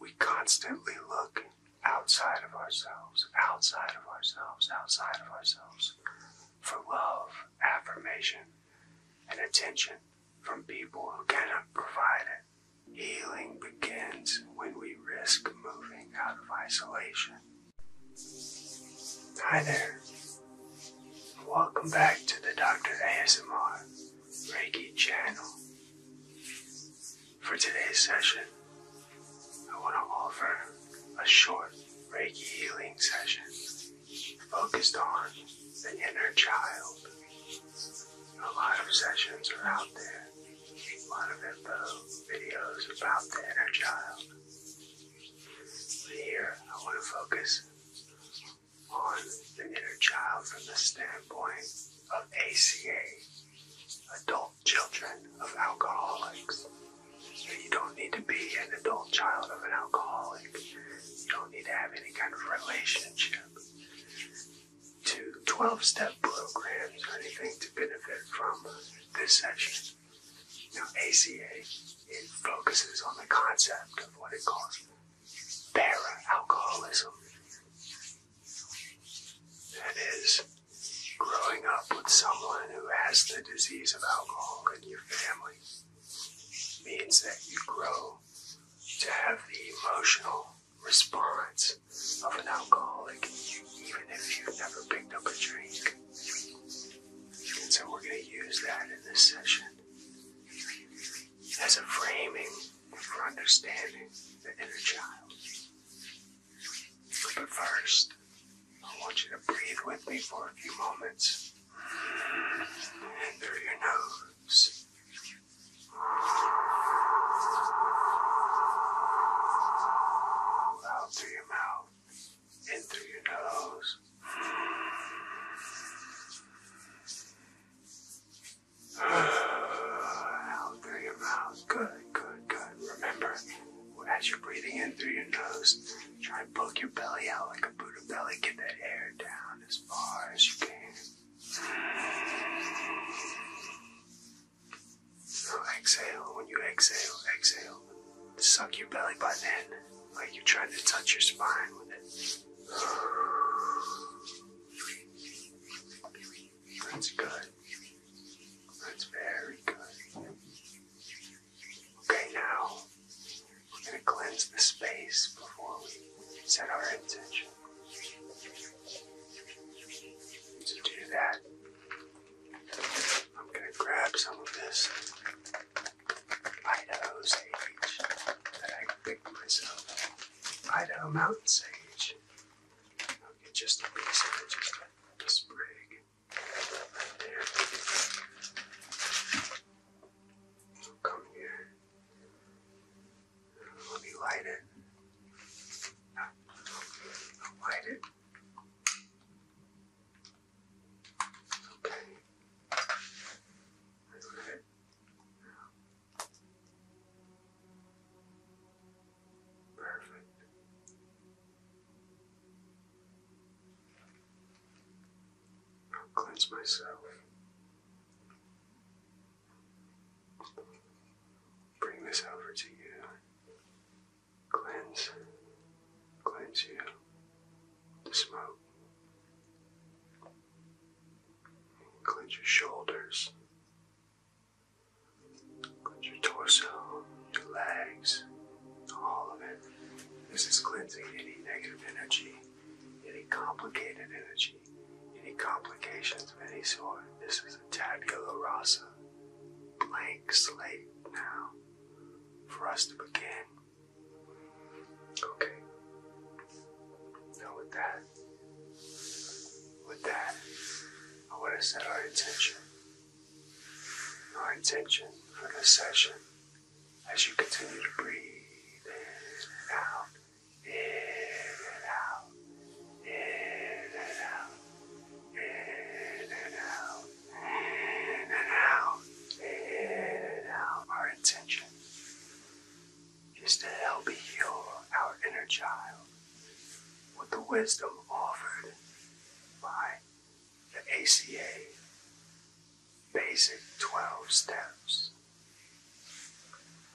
We constantly look outside of ourselves, outside of ourselves, outside of ourselves for love, affirmation, and attention from people who cannot provide it. Healing begins when we risk moving out of isolation. Hi there. Welcome back to the Dr. ASMR Reiki channel. For today's session, I want to offer a short Reiki healing session focused on the inner child. A lot of sessions are out there, a lot of info, videos about the inner child. Here, I want to focus on the inner child from the standpoint of ACA, Adult Children of Alcoholics. You don't need to be an adult child of an alcoholic. You don't need to have any kind of relationship to 12 step programs or anything to benefit from this section. Now, ACA, it focuses on the concept of what it calls para alcoholism. That is, growing up with someone who has the disease of alcohol in your family means that you grow to have the emotional response of an alcoholic, even if you've never picked up a drink. And so we're going to use that in this session as a framing for understanding the inner child. But first, I want you to breathe with me for a few moments. Through your nose. Out through your mouth. In through your nose. Out through your mouth. Good, good, good. Remember, as you're breathing in through your nose, try to poke your belly out like a Buddha belly. Get that air down as far as you can. exhale. When you exhale, exhale. Suck your belly button in like you're trying to touch your spine with it. That's good. That's very good. Okay, now we're going to cleanse the space before we set our intention. To do that, I'm going to grab some of this Idaho's age that I myself, Idaho mountain sage. I'll get just the leaves just the right there. I'll come here. Let me light it. light it. Okay. Perfect. I'll cleanse myself. Bring this over to you. Cleanse. Cleanse you. The smoke. Clench your shoulders. Clench your torso, your legs, all of it. This is cleansing any negative energy, any complicated energy, any complications of any sort. This is a tabula rasa, blank slate now for us to begin. Okay. Now with that, with that, I want to set our intention. Our intention for this session as you continue to breathe in and out, in and out, in and out, in and out, in and out, in and out. Our intention is to help heal our inner child with the wisdom offered by the ACA Basic 12 Steps.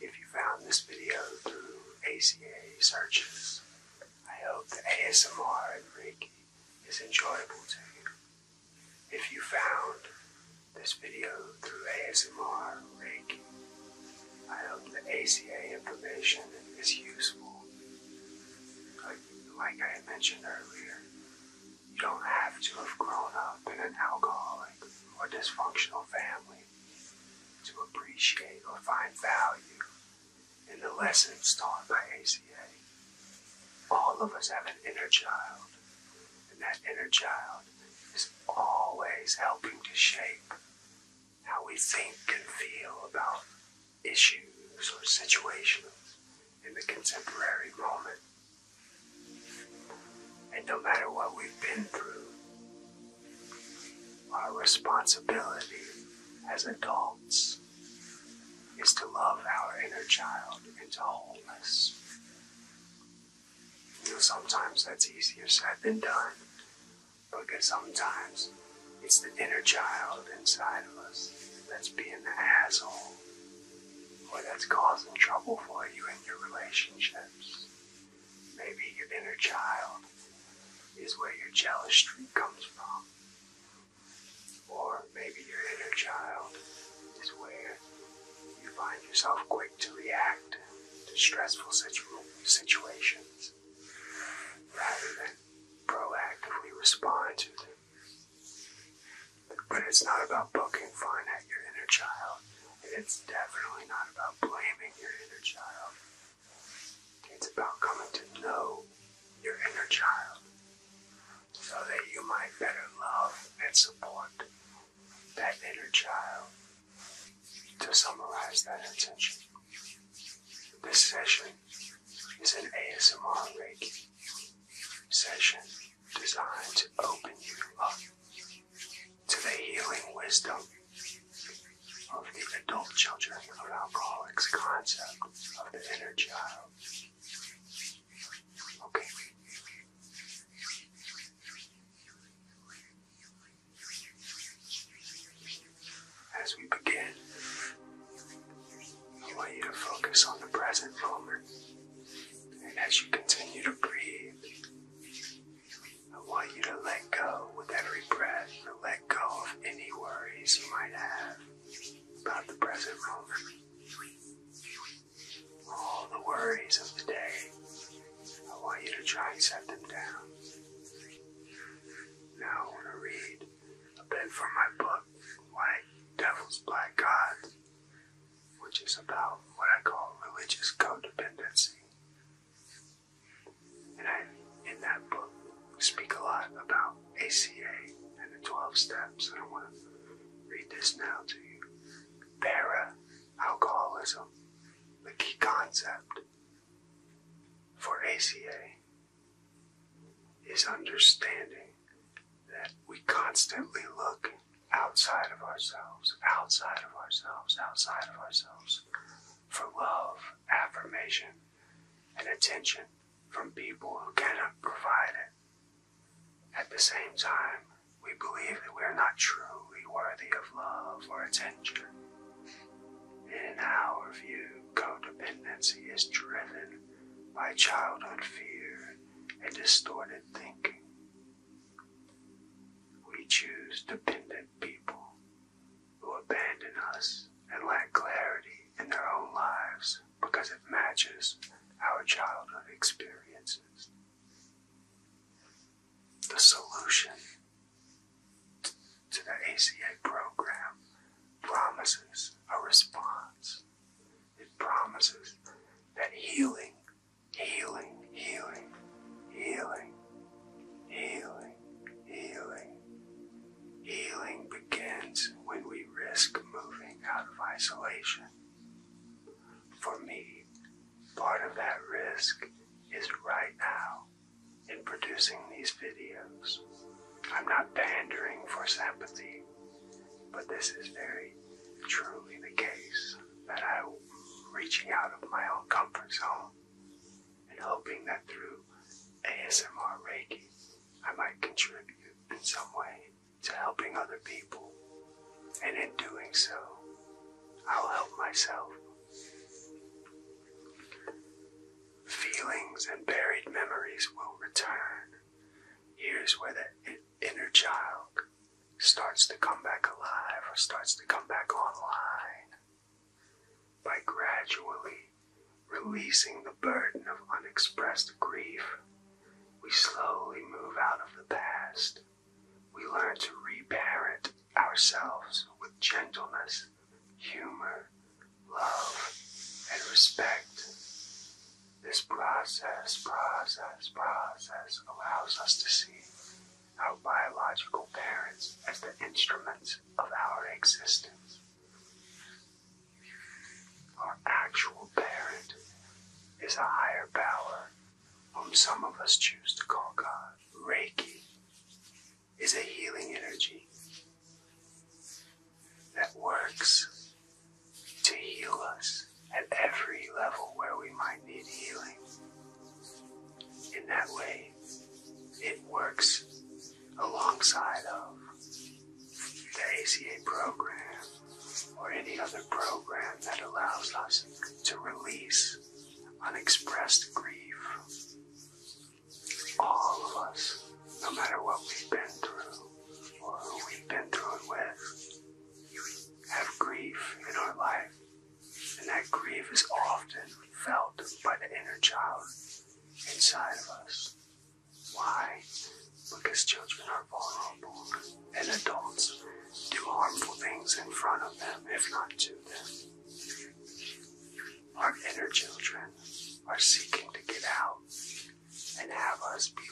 If you found this video through ACA searches, I hope the ASMR and Reiki is enjoyable to you. If you found this video through ASMR Reiki. I hope the ACA information is useful. Like, I mentioned earlier, you don't have to have grown up in an alcoholic or dysfunctional family to appreciate or find value in the lessons taught by ACA. All of us have an inner child, and that inner child is always helping to shape how we think and feel about issues or situations in the contemporary moment. And no matter what we've been through, our responsibility as adults is to love our inner child into wholeness you know, sometimes that's easier said than done. Because sometimes it's the inner child inside of us that's being the asshole or that's causing trouble for you in your relationships. Maybe your inner child is where your jealous streak comes from. Or maybe your inner child is where you find yourself quick to react to stressful situations rather than proactively respond to them. But it's not about poking fun at your inner child, and it's definitely not about blaming your inner child. It's about coming to know your inner child so that you might better love and support that inner child to summarize that intention. This session is an ASMR Reiki session designed to open you up to the healing wisdom of the adult children of alcoholics concept of the inner child. Okay. As we begin, I want you to focus on the present moment. And as you continue to breathe, I want you to let go with every breath, to let go of any worries you might have about the present moment all the worries of the day. I want you to try and set them down. Now I want to read a bit from my book, White Devil's Black Gods, which is about what I call religious codependency. And I, in that book, speak a lot about ACA and the 12 steps, and I want to read this now to you. Para alcoholism the key concept for ACA is understanding that we constantly look outside of ourselves, outside of ourselves, outside of ourselves for love, affirmation, and attention from people who cannot provide it. At the same time, we believe that we are not truly worthy of love or attention. In our view, codependency is driven by childhood fear and distorted thinking. We choose dependent people who abandon us and lack clarity in their own lives because it matches our childhood experiences the solution to the ACA program promises a response. It promises that healing, healing, healing, healing, healing, healing, healing begins when we risk moving out of isolation. For me, Part of that risk is right now in producing these videos. I'm not pandering for sympathy, but this is very truly the case that I'm reaching out of my own comfort zone and hoping that through ASMR Reiki, I might contribute in some way to helping other people. And in doing so, I'll help myself. Feelings and buried memories will return. Here's where the inner child starts to come back alive or starts to come back online by gradually releasing the burden of unexpressed grief. We slowly move out of the past we learn to reparent ourselves with gentleness, humor, love, and respect. This process, process, process allows us to see our biological parents as the instruments of our existence. Our actual parent is a higher power whom um, some of us choose to call God, Reiki, is a healing energy that works to heal us at every level where we might need healing. In that way, it works alongside of the ACA program or any other program that allows us to release unexpressed grief. All of us, no matter what we've been through or who we've been through it with, have grief in our life. And that grief is often felt by the inner child inside of us. Why? Because children are vulnerable and adults do harmful things in front of them, if not to them. Our inner children are seeking to get out and have us be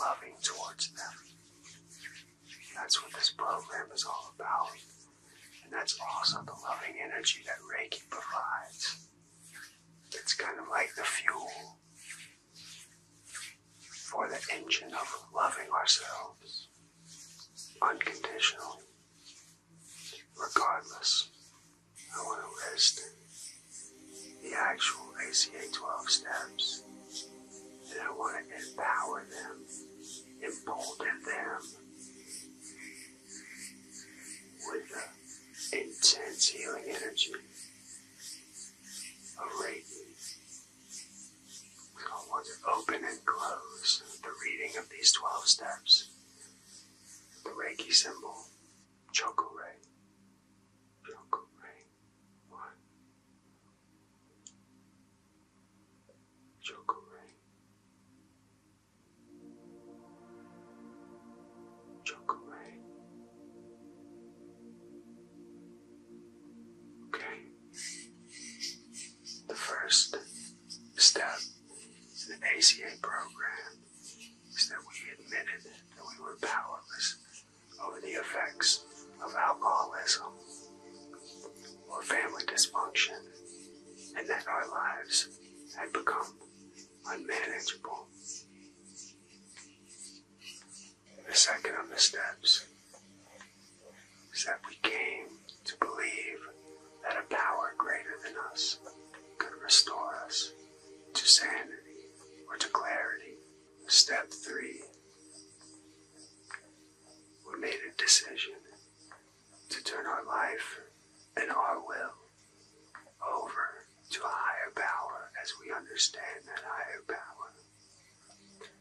loving towards them. That's what this program is all about. And that's also the loving energy that Reiki provides. It's kind of like the fuel for the engine of loving ourselves unconditionally, regardless. I want to list the actual ACA 12 steps, and I want to empower them, embolden them with the intense healing energy of radiance. We will want to open and close the reading of these 12 steps. The Reiki symbol, Choco Ray. One. Choco Ray. Okay. The first step in the ACA program is that we admitted that we were powerless over the effects of alcoholism or family dysfunction and that our lives had become unmanageable. The second of the steps is that we came to believe that a power greater than us could restore us to sanity or to clarity. Step three, we made a decision to turn our life and our will over to a higher power as we understand that higher power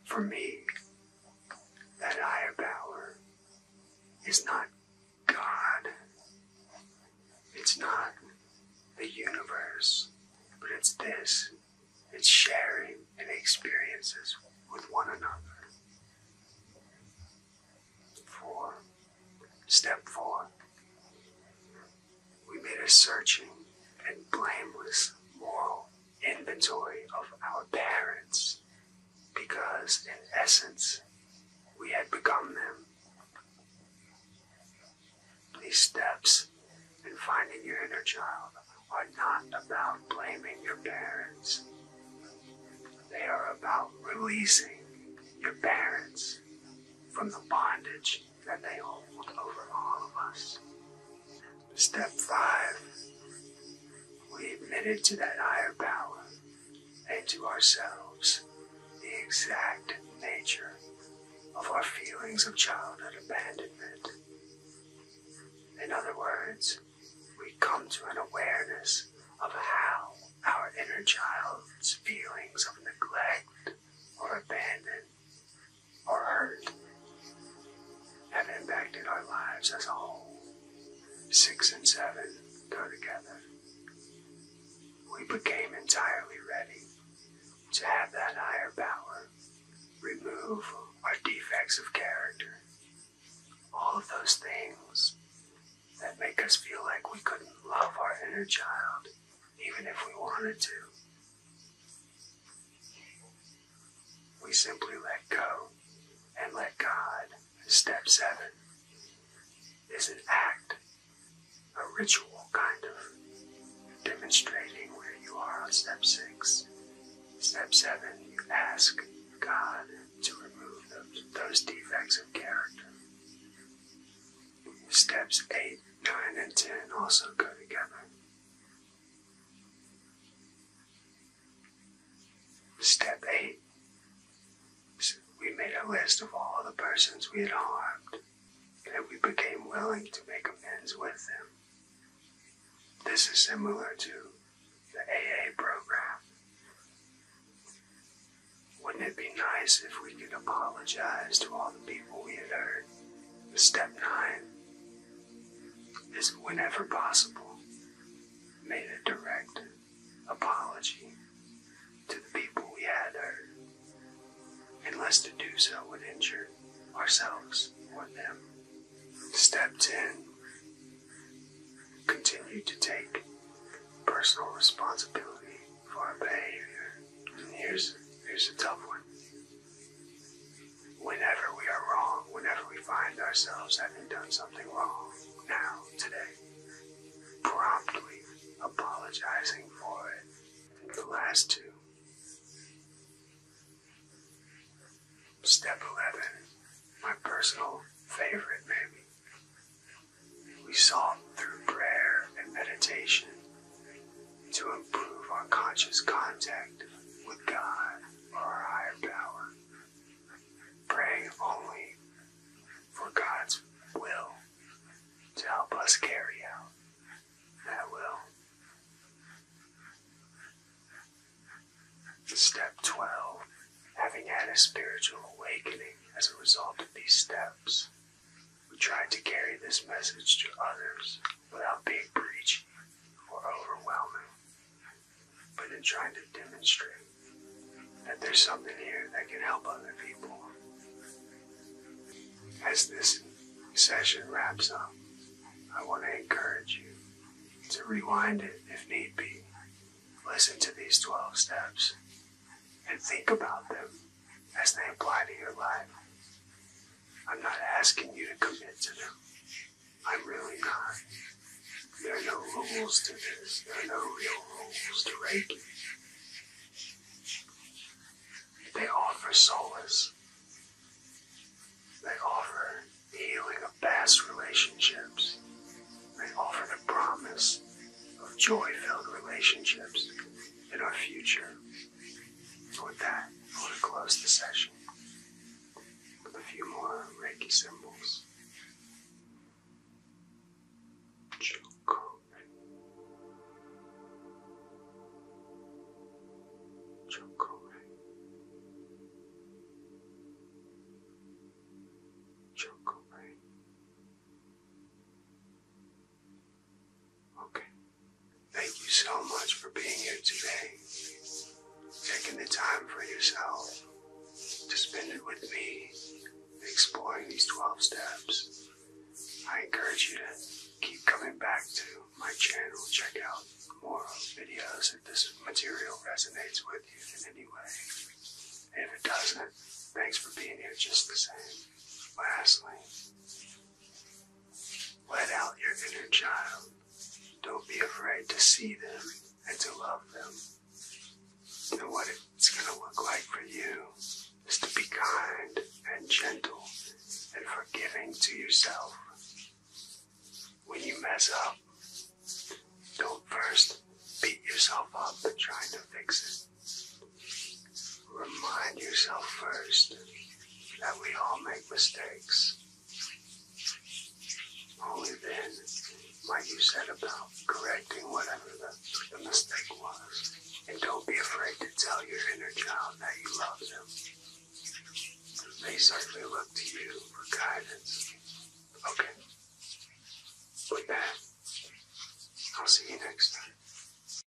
for me, that higher power is not God. It's not the universe, but it's this. It's sharing and experiences with one another. Four. Step four we made a searching and blameless moral inventory of our parents, because in essence, we had become them. These steps in finding your inner child are not about blaming your parents. They are about releasing your parents from the bondage that they hold over all of us. Step five, we admitted to that higher power and to ourselves the exact nature of our feelings of childhood abandonment. In other words, we come to an awareness of how our inner child's feelings of neglect or abandonment or hurt have impacted our lives as a whole. Six and seven go together. We became entirely ready to have that higher power remove our defects of character, all of those things that make us feel like we couldn't love our inner child even if we wanted to. We simply let go and let God. Step seven is an act, a ritual kind of, demonstrating where you are on step six. Step seven, you ask God to remove those, those defects of character. Steps eight, nine, and ten also go together. Step 8. We made a list of all the persons we had harmed, and we became willing to make amends with them. This is similar to the AA program. Wouldn't it be nice if we could apologize to all the people we had hurt? Step 9 is whenever possible, make a direct apology to the people we had hurt, unless to do so would injure ourselves or them. Step 10 Continue to take personal responsibility for our behavior. And here's, here's a tough one Whenever we are wrong, whenever we find ourselves having done something wrong, now, today, promptly apologizing for it. The last two. Step 11, my personal favorite, maybe. We saw through prayer and meditation to improve our conscious contact with God or our higher power, praying only for God's will to help us carry out that will. Step 12 Having had a spiritual awakening as a result of these steps we tried to carry this message to others without being preachy or overwhelming, but in trying to demonstrate that there's something here that can help other people. As this session wraps up, I want to encourage you to rewind it if need be. Listen to these 12 steps and think about them as they apply to your life. I'm not asking you to commit to them. I'm really not. There are no rules to this. There are no real rules to Reiki. They offer solace. They offer the healing of past relationships. They offer the promise of joy-filled relationships in our future. And with that, I want to close the session with a few more Reiki symbols. Chokore. Chokore. Chokore. Okay, Thank you so much for being here today, taking the time for yourself to spend it with me, exploring these 12 steps. I encourage you to keep coming back to my channel, check out more videos if this material resonates with you in any way. if it doesn't, thanks for being here just the same. Lastly, let out your inner child. Don't be afraid to see them and to love them. And what it's going to look like for you is to be kind and gentle and forgiving to yourself. When you mess up, don't first beat yourself up and trying to fix it remind yourself first that we all make mistakes. Only then might you said about correcting whatever the, mistake was. And don't be afraid to tell your inner child that you love them. They certainly look to you for guidance. Okay. With that, I'll see you next time.